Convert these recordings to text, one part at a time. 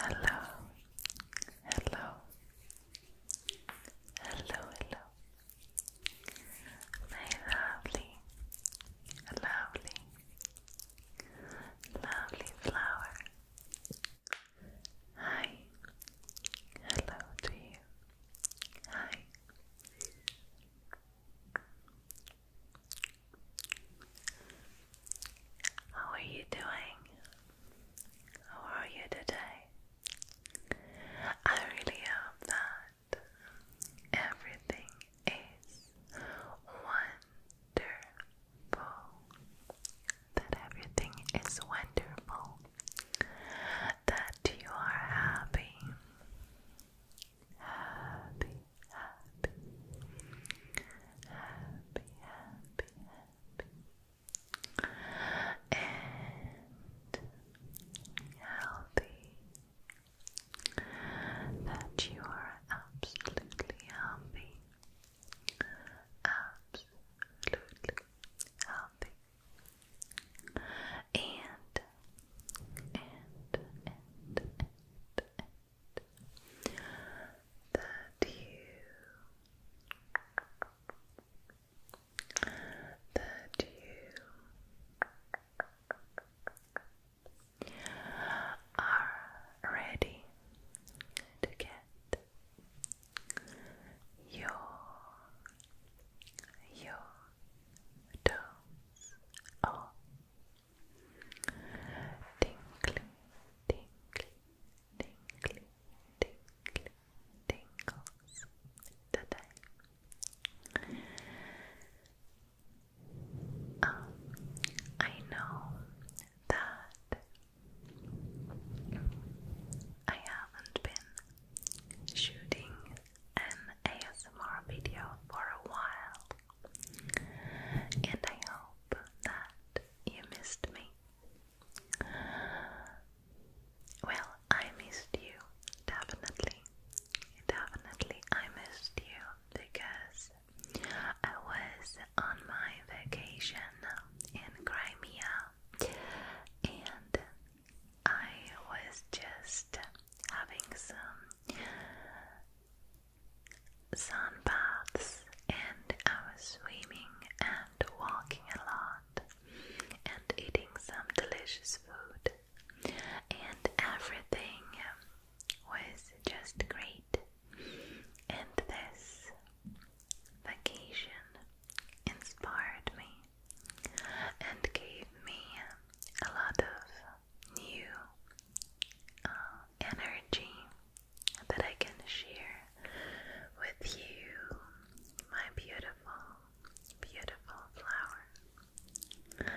Hello, hello, hello, hello, my lovely, lovely, lovely flower. Hi, hello to you. Hi. How are you doing? How are you today? I really hope that everything is wonderful. That everything is wonderful. That you are happy happy, happy, happy, happy, happy, and healthy. That you are absolutely healthy, absolutely healthy and and and and, that you that you are ready to get your your toes off. Tinkly, tinkly, tinkly, tinkly, tingles today. I know that I haven't been shooting an ASMR video for a while, and I hope that you missed me. Well, I missed you, definitely. Definitely, I missed you because I was on my vacation in Crimea and I was just having some sun baths, and I was swimming and walking a lot and eating some delicious food, and everything was just great. And this vacation inspired me and gave me a lot of new uh, energy that I can share with you, my beautiful, beautiful flower.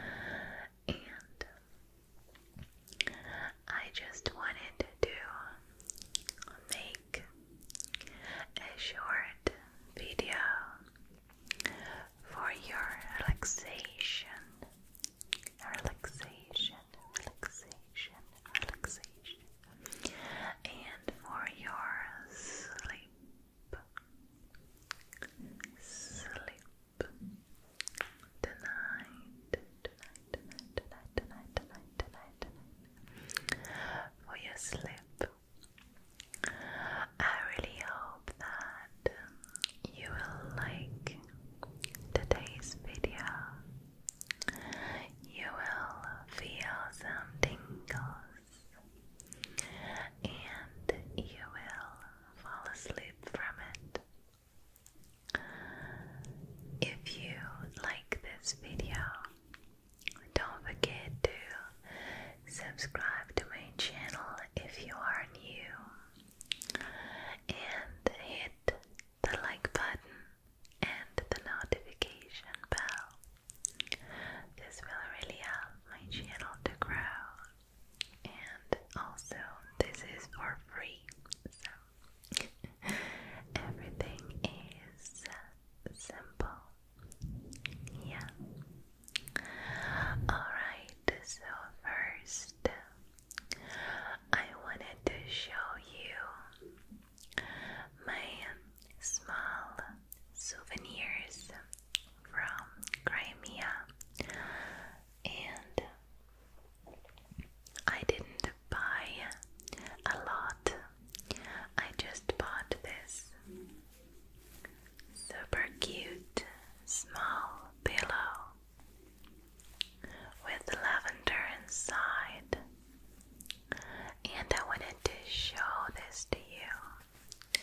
And I just wanted to make a short video for your relaxation. Relaxation, relaxation, relaxation, and for your sleep, sleep tonight, tonight, tonight, tonight, tonight, tonight, tonight, tonight. for your sleep. I really hope that um, you will like today's video. You will feel some tingles and you will fall asleep from it. If you like this video, don't forget to subscribe to my channel if you are new and hit the like button and the notification bell. This will really help my channel to grow, and also, this is for free, so everything is simple. Yeah. Alright, so first I wanted to show you my small souvenirs from Crimea and I didn't buy a lot. I just bought this super cute small pillow with lavender inside. And I wanted to show this to you.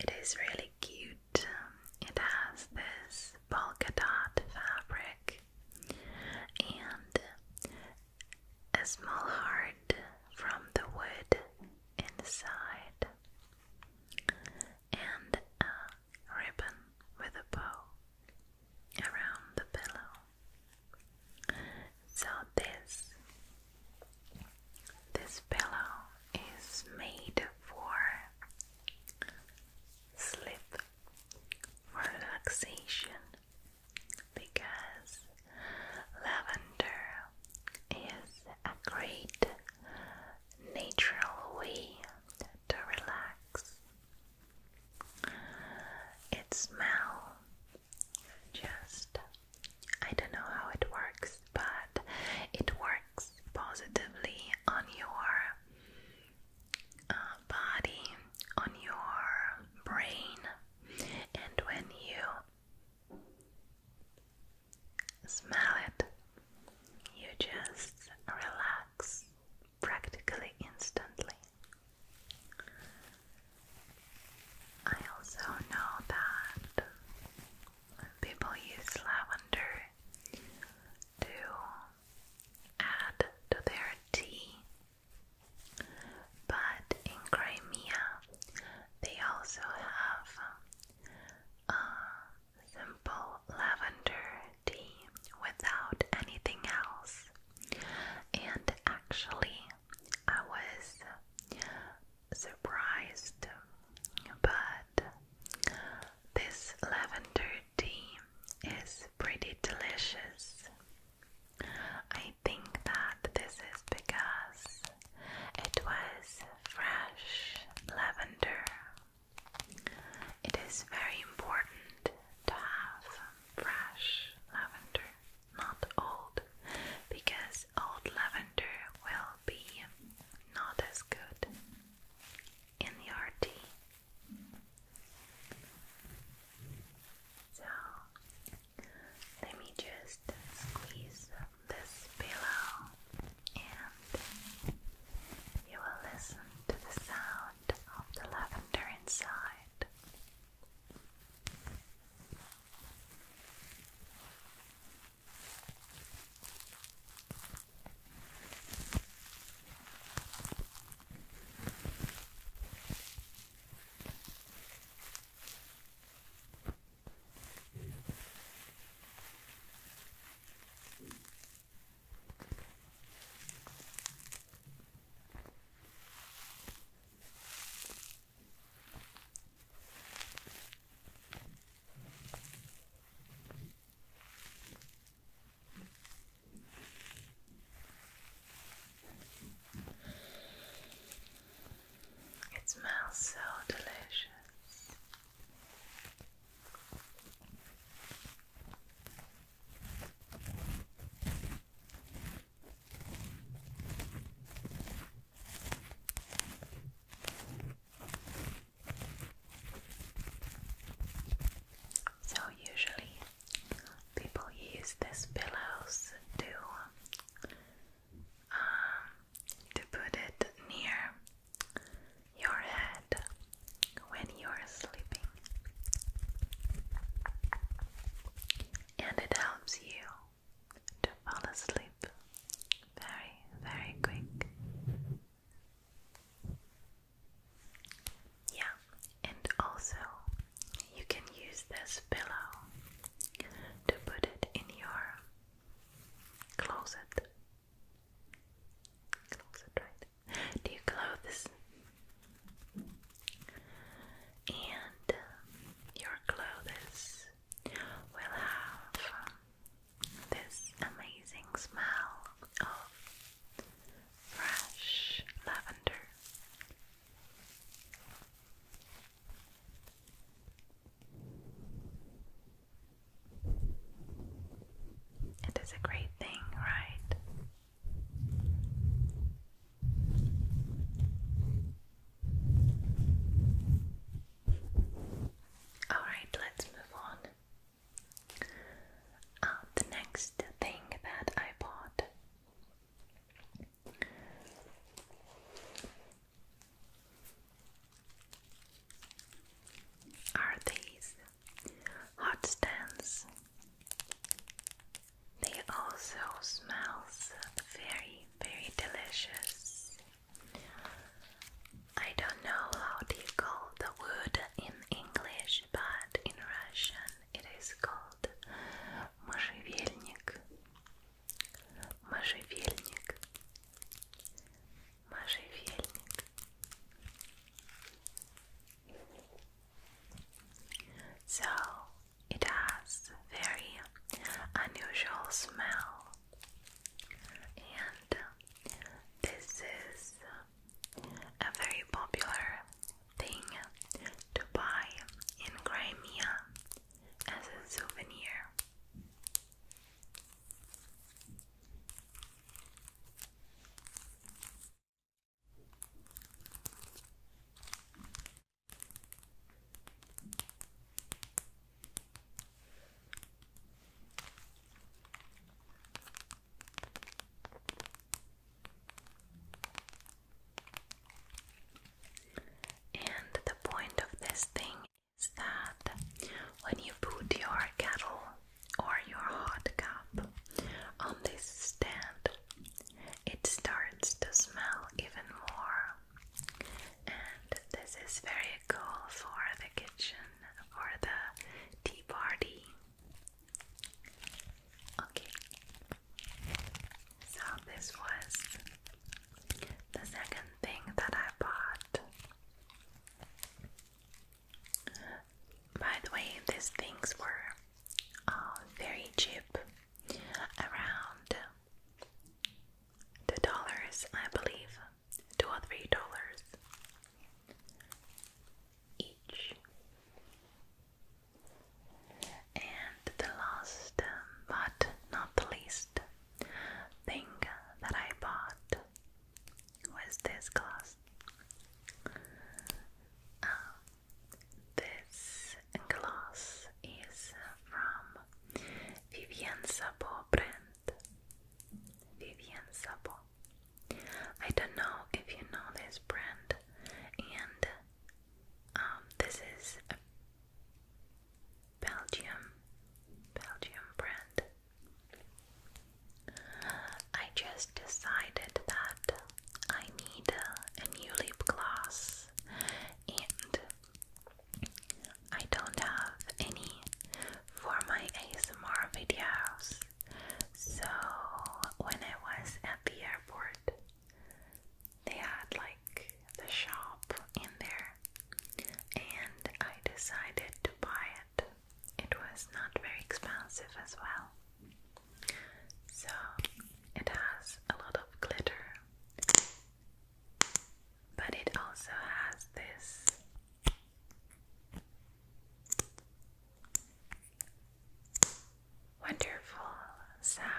It is really cute. It has this polka dot fabric and a small heart from the wood inside and a ribbon with a bow around the pillow. So this this pillow is made for sleep relaxation because lavender is great natural way to relax. It smell just I don't know how it works, but it works positively on your uh, body, on your brain, and when you smell it. You just relax practically instantly. I also know that people use lavender to add to their tea, but in Crimea they also have uh, Simple lavender tea without anything else. And actually, I was surprised, but this lavender tea is pretty delicious. I think that this is because it was fresh lavender it is very important to have fresh lavender, not old, because old lavender will be not as good in your tea. So let me just squeeze this pillow and you will listen to the sound of the lavender inside. It smells so delicious. So, usually people use these pillows to um, to put it near your head when you are sleeping, and it helps you to fall asleep very, very quick. Yeah, and also you can use this pillow to put it in your closet do you clothes? And uh, your clothes will have um, this amazing smell of fresh lavender. It is a great thing, right? All right, let's move on. Um, the next thing that I bought are these hot stands. They also smell very, very delicious. I don't know how do you call the wood in English, but in Russian it is called можжевельник. Можжевельник. Marzy Wielnik. So it has very unusual smell, and this is a very popular thing to buy in Crimea as a souvenir. And the point of this thing is that when you put your kettle or your hot cup on this stand, it starts to smell even more. And this is very cool for the kitchen, for the tea party. Okay, so this was the second thing that I bought. By the way, these things were uh, very cheap, around two dollars, I believe, two or three dollars each. And the last, but not the least, thing that I bought was this class. Uh, um, this glass is from Vivienne Sabo brand. Vivienne Sabo. I don't know if you know this brand, and um, this is Belgium, Belgium brand. I just decided that I need a new lip gloss and I don't have any for my ASMR videos. So when I was at the airport, they had like the shop in there, and I decided to buy it it was not very expensive as well. So it has a lot of glitter, but it also has this wonderful sound.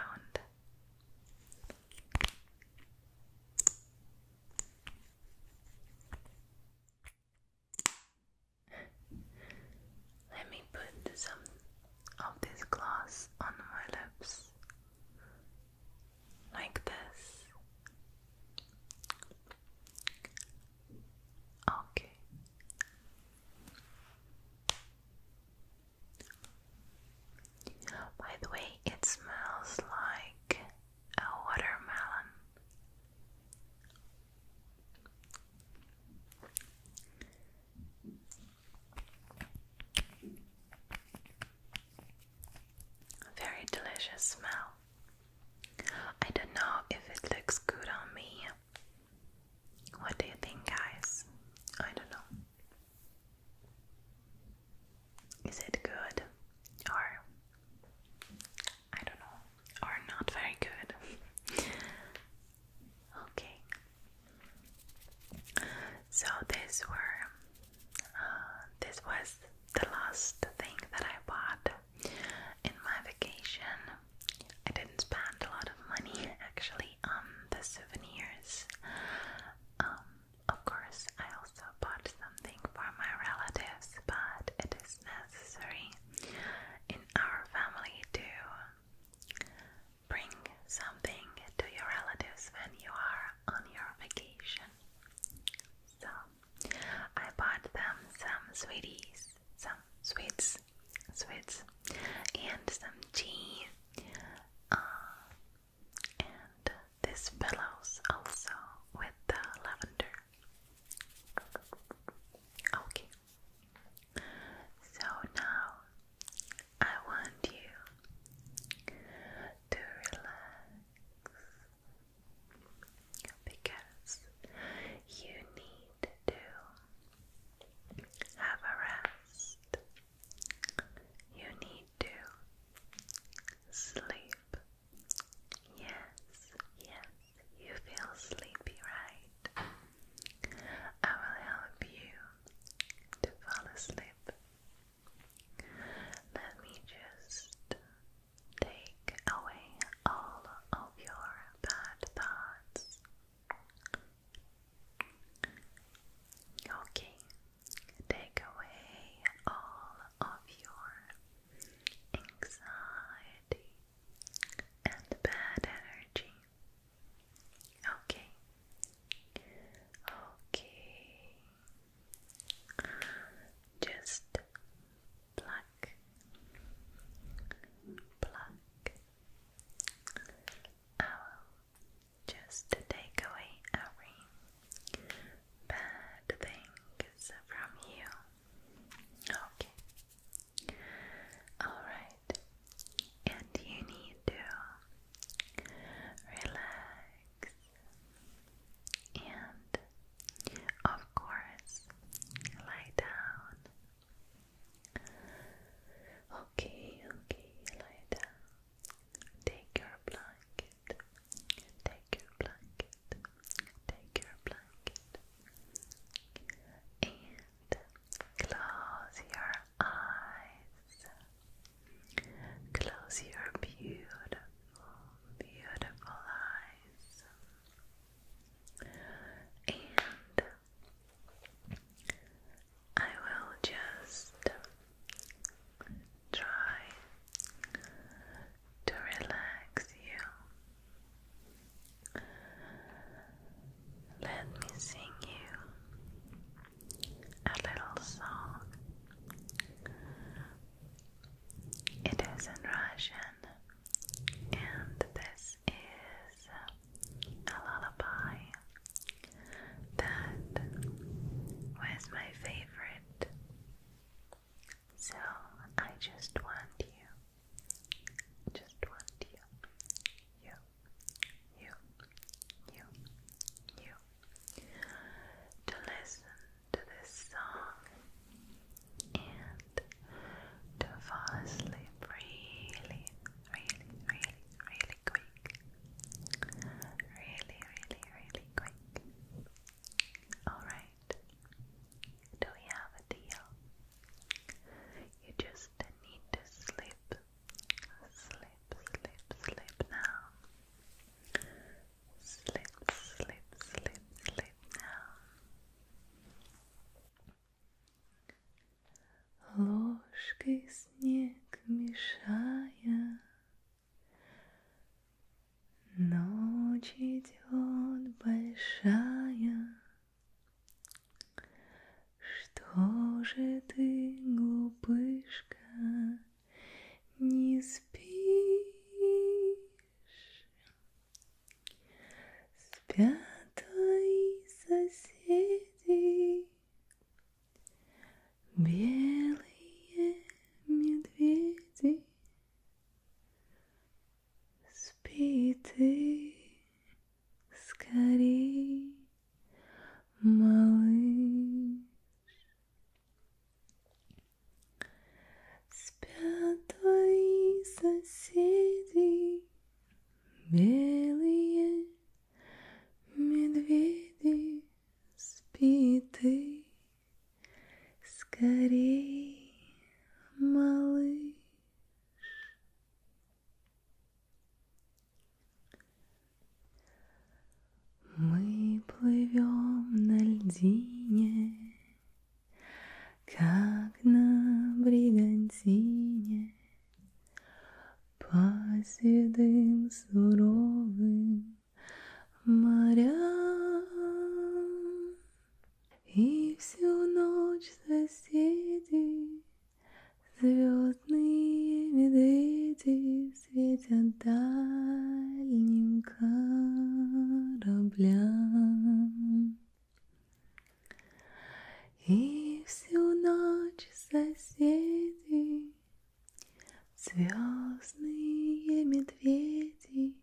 Let me put some of this glass on my lips, like this. Okay. By the way, it smells like a watermelon. very delicious smell. I don't know if it looks good on me. What do you think, guys? I don't know is it good or I don't know or not very good? okay. So uh, this was the last thing that I bought in my vacation. I didn't spend a lot of money actually on the souvenirs. Um, of course, I also bought something for my relatives, but it is necessary in our family to bring something to your relatives when you are on your vacation. So I bought them some sweeties, some sweets, sweets, and some tea, uh, and this pillows also with the lavender. Okay. So now I want you to relax because you need to have a rest. You need to sleep Yes, yes, you feel sleepy, right? I will help you to fall asleep. Let me just take away all of your bad thoughts. Okay, take away all of your anxiety, and bad energy. Okay, okay, just pluck, pluck. I will just take away every bad things from you. Okay. Alright. And you need to relax. And of course, lie down. Okay, okay, lie down. Take your blanket Take your blanket. Take your blanket. And close your eyes. Close your beautiful, beautiful eyes. And I will just try to relax you. Let me sing you a little song. It is in Russian, and this is a lullaby that was my favorite so I just want you, just want you, you, you, you, you, to listen to this song and to fall asleep really, really, really, really quick. Really, really, really quick. Alright. Do we have a deal? You just need to sleep, sleep, sleep, sleep now. Sleep, sleep, sleep, sleep now. Ложкой снег мешая Ночь идет большая, Что же ты, глупышка, не спишь? Спят твои соседи, Белые медведи. Спи ты скорей, малыш. Спят твои соседи, белые медведи, спи ты Скорей, малыш. Мы плывем на льдине, как на бригантине, по седым суровым морям. И всю ночь соседи, звездные медведи светят дальним кораблям. И всю ночь соседи, звездные медведи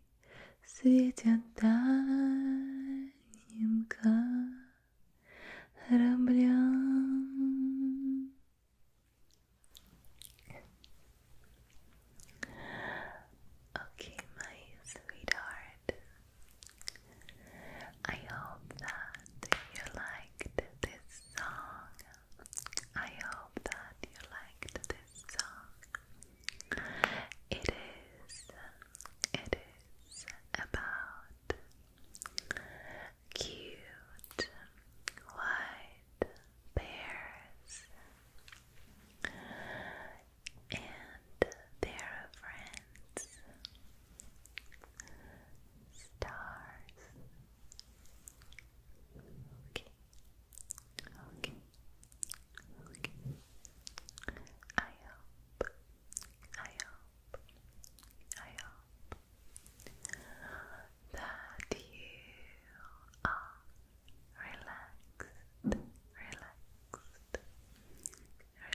светятенька кораблям. Okay, my sweetheart. I hope that you liked this song. I hope that you liked this song. It is, it is about cute white bears and their friends, stars. Okay. Okay. Okay. I hope. I hope. I hope that you are relaxed, relaxed,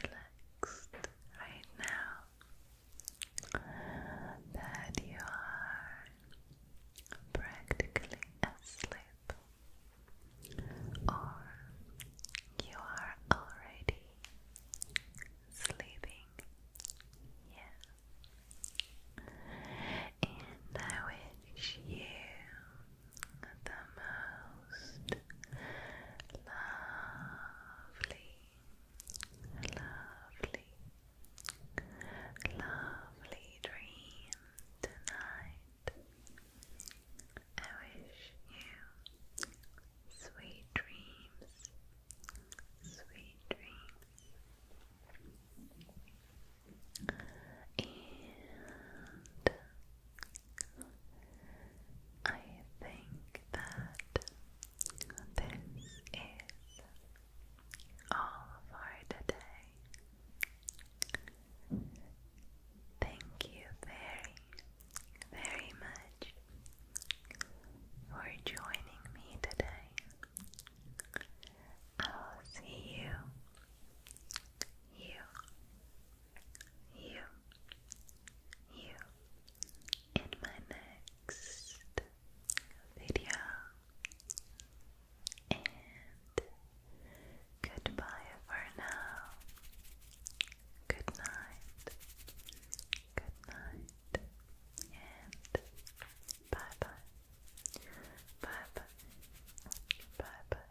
relaxed right now. That you are practically asleep or you are already sleeping. Yeah. And I wish you the most lovely, lovely, lovely dream tonight night. I wish you sweet dreams, sweet dreams, and I think that this is all for today. Thank you very, very much for joining me today. I'll see you, you, you, you in my next video. And goodbye for now. Good night. Good night. And bye bye. Bye bye. Bye bye.